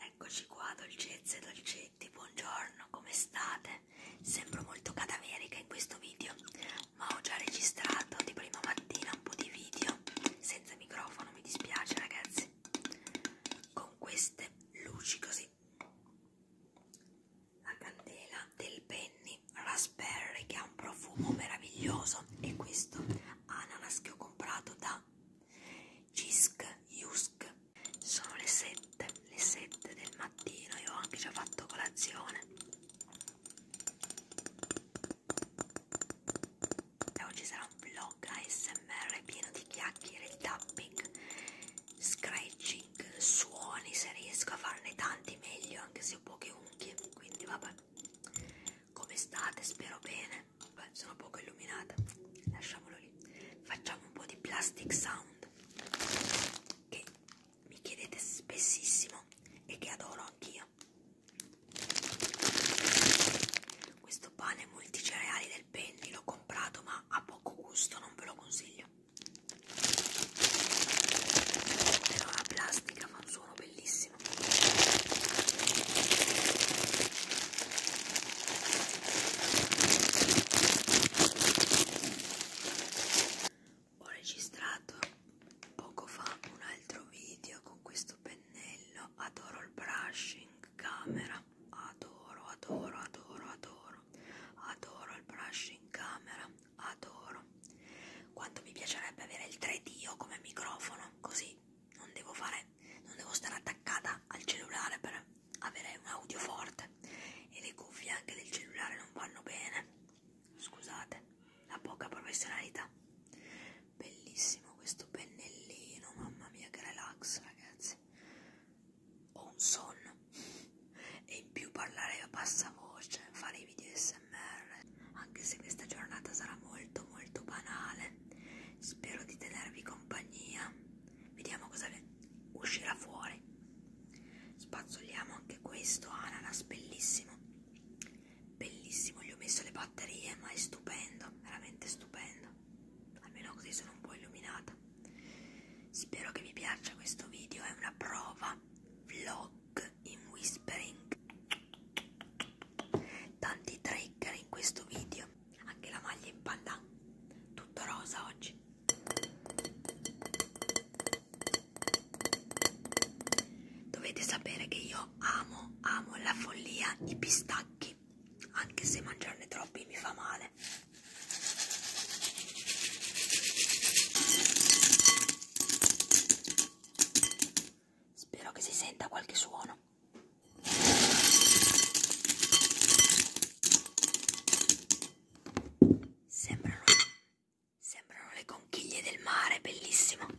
Eccoci qua, dolcezze e dolcetti, buongiorno, come state? Sembro molto cadaverica in questo video, ma ho già registrato di prima mattina un po' di video senza microfono, mi dispiace ragazzi. Con queste luci così la candela del Penny Raspberry che ha un profumo meraviglioso e questo ananas che ho comprato da Jisk Yusk sono le 7 le 7 del mattino io ho anche già fatto colazione e oggi sarà un vlog ASMR pieno di chiacchiere e tapping scratching, suoni, se riesco a farne tanti meglio, anche se ho poche unghie, quindi vabbè. Come state? Spero bene. Beh, sono poco illuminata. Lasciamolo lì. Facciamo un po' di plastic sound che mi chiedete spessissimo e che adoro anch'io. Questo pane multicereali il penny l'ho comprato ma ha poco gusto, non ve lo consiglio. Però la plastica fa un suono bellissimo. Ho registrato poco fa un altro video con questo pennello, adoro il brushing camera camera adoro adoro adoro adoro adoro il brush in camera adoro quanto mi piacerebbe avere il 3D come microfono così non devo fare non devo stare attaccata al cellulare per avere un audio forte e le cuffie anche del cellulare non vanno bene scusate la poca professionalità Bellissimo questo pennellino, mamma mia che relax ragazzi. Ho un sonno. E in più parlare a bassa voce, fare i video smr. Anche se questa giornata sarà molto molto banale. Spero di tenervi compagnia. Vediamo cosa uscirà fuori. Spazzoliamo anche questo ananas, bellissimo. Bellissimo, gli ho messo le batterie, ma è stupendo, veramente stupendo mattina almeno così sono un po' illuminata spero che vi piaccia questo video è una prova vlog in whispering tanti trigger in questo video anche la maglia in pandan tutto rosa oggi dovete sapere che io amo amo la follia i pistacchi anche se mangiarne troppi mi fa male spero che si senta qualche suono sembrano, sembrano le conchiglie del mare bellissimo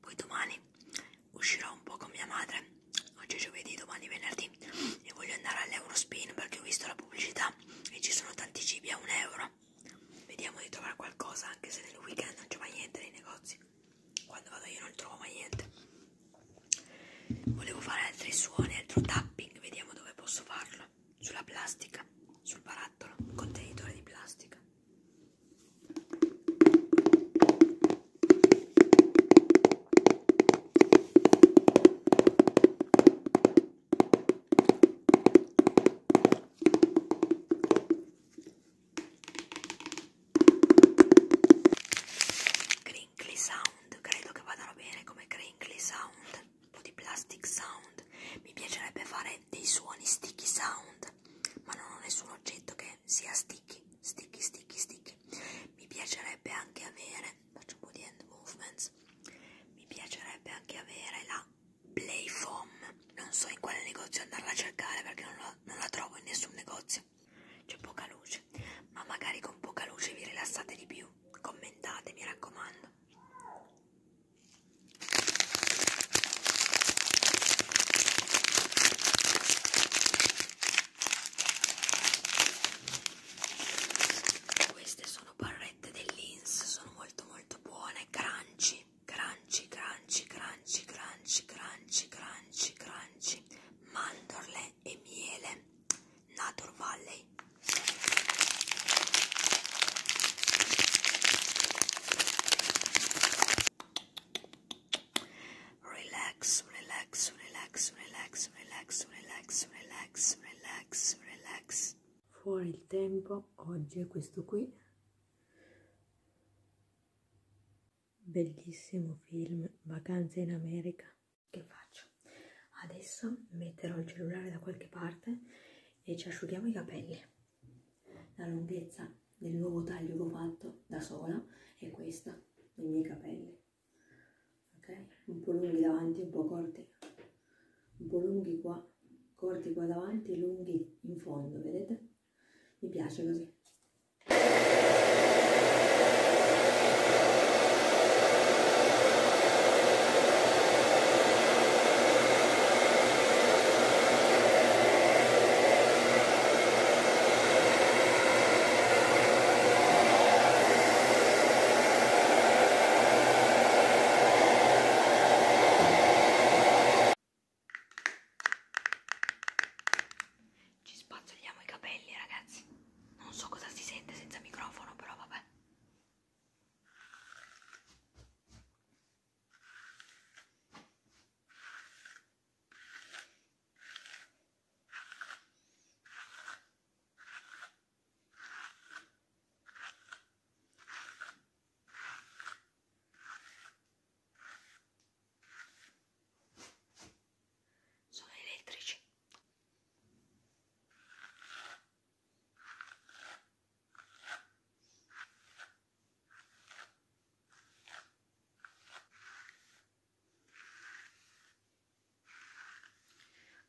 Poi domani uscirò un po' con mia madre. Oggi è giovedì, domani è venerdì. E voglio andare all'Eurospin perché ho visto la pubblicità e ci sono tanti cibi a un euro. Vediamo di trovare qualcosa, anche se nel weekend non c'è mai niente nei negozi. Quando vado io non trovo mai niente. Volevo fare altri suoni, altro tapping. Vediamo dove posso farlo. Sulla plastica, sul barattolo, un contenitore di plastica. Crinkly sound, credo che vadano bene come crinkly sound, un po' di plastic sound. Mi piacerebbe fare dei suoni sticky sound ma non ho nessun oggetto che sia sticky, sticky, sticky, sticky. Mi piacerebbe anche avere, faccio un po' di hand movements, mi piacerebbe anche avere la Play Foam. Non so in quale negozio andarla a cercare perché non la, non la trovo in nessun negozio. C'è poca luce, ma magari con poca luce vi rilassate di più. Commentate, mi raccomando. Queste sono barrette dell'Ins, sono molto molto buone, crunchy, crunchy, crunchy, crunchy, crunchy, crunchy, crunchy, crunchy, mandorle e miele, Natur Valley. Relax, relax, relax, relax, relax, relax, relax, relax, relax. Fuori il tempo, oggi è questo qui. Bellissimo film, vacanze in America. Che faccio? Adesso metterò il cellulare da qualche parte e ci asciughiamo i capelli. La lunghezza del nuovo taglio che ho fatto da sola è questa, dei miei capelli. Ok? Un po' lunghi davanti, un po' corti. Un po' lunghi qua, corti qua davanti e lunghi in fondo, vedete? Mi piace così. Ci spazzoliamo i capelli, ragazzi. Non so cosa si sente senza microfono, però vabbè sono elettrici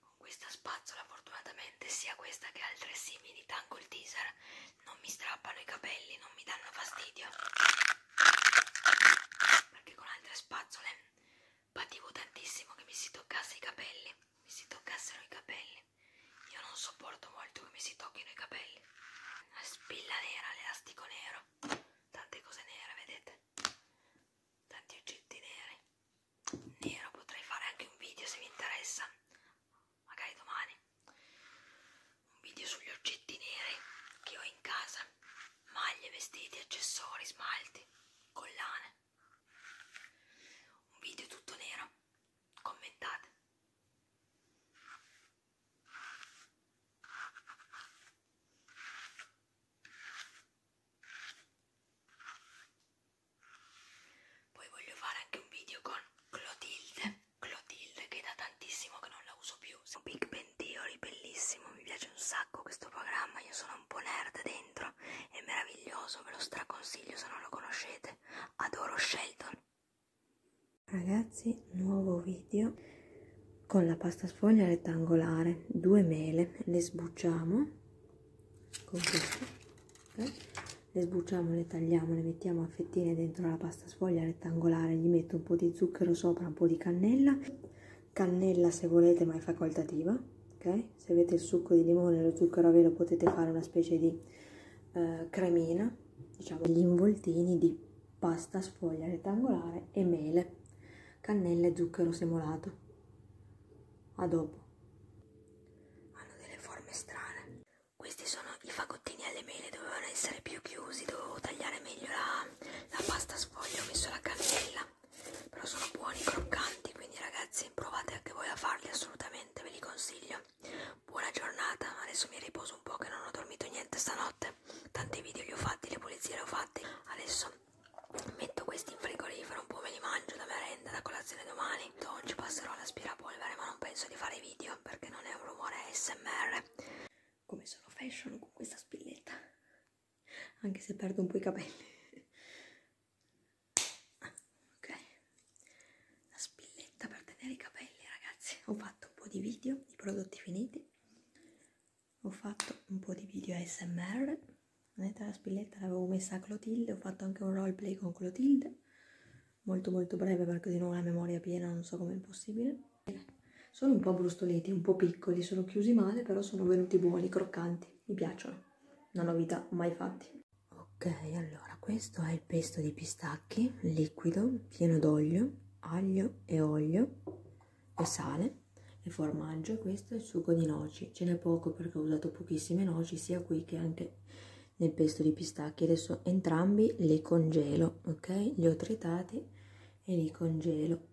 con questa spazzola fortunatamente sia questa che altre simili tangle teaser non mi strappano i capelli, non mi danno fastidio. Perché con altre spazzole pativo tantissimo che mi si toccasse i capelli, mi si toccassero i capelli. Io non sopporto molto che mi si tocchino i capelli. La spilla nera, l'elastico nero, tante cose nere, vedete? Tanti oggetti neri. Nero potrei fare anche un video se vi interessa, magari domani. Un video sugli oggetti neri che ho in casa. Maglie, vestiti, accessori, smalti, collane un video tutto nero commentate poi voglio fare anche un video con Clotilde Clotilde che da tantissimo che non la uso più un Big Ben Theory bellissimo mi piace un sacco questo programma io sono sono un po' nerd dentro, è meraviglioso, ve lo straconsiglio se non lo conoscete, adoro Shelton. Ragazzi, nuovo video con la pasta sfoglia rettangolare, due mele, le sbucciamo con questo, okay. le sbucciamo, le tagliamo, le mettiamo a fettine dentro la pasta sfoglia rettangolare, gli metto un po' di zucchero sopra, un po' di cannella, cannella se volete ma è facoltativa, ok? se avete il succo di limone e lo zucchero a velo potete fare una specie di eh, cremina, diciamo gli involtini di pasta sfoglia rettangolare e mele, cannella e zucchero semolato. A dopo. Hanno delle forme strane. Questi sono i fagottini alle mele, dovevano essere più chiusi, dovevo tagliare meglio la, la pasta sfoglia, ho messo la cannella però sono buoni, croccanti, quindi ragazzi provate anche voi a farli assolutamente, ve li consiglio. Buona giornata, adesso mi riposo un po' che non ho dormito niente stanotte, tanti video li ho fatti, le pulizie le ho fatte, adesso metto questi in frigorifero, un po' me li mangio da merenda, da colazione domani, oggi passerò l'aspirapolvere ma non penso di fare video perché non è un rumore ASMR. Come sono fashion con questa spilletta? anche se perdo un po' i capelli ah, ok la spilletta per tenere i capelli ragazzi ho fatto un po' di video di prodotti finiti ho fatto un po' di video ASMR vedete ah, la spilletta l'avevo messa a Clotilde ho fatto anche un roleplay con Clotilde molto molto breve perché di nuovo la memoria piena non so come è possibile sono un po' brustoliti, un po' piccoli, sono chiusi male però sono venuti buoni, croccanti mi piacciono, una novità mai fatti. Ok, allora questo è il pesto di pistacchi liquido, pieno d'olio, aglio e olio e sale e formaggio. Questo è il sugo di noci. Ce n'è poco perché ho usato pochissime noci sia qui che anche nel pesto di pistacchi. Adesso entrambi li congelo, ok? Li ho tritati e li congelo.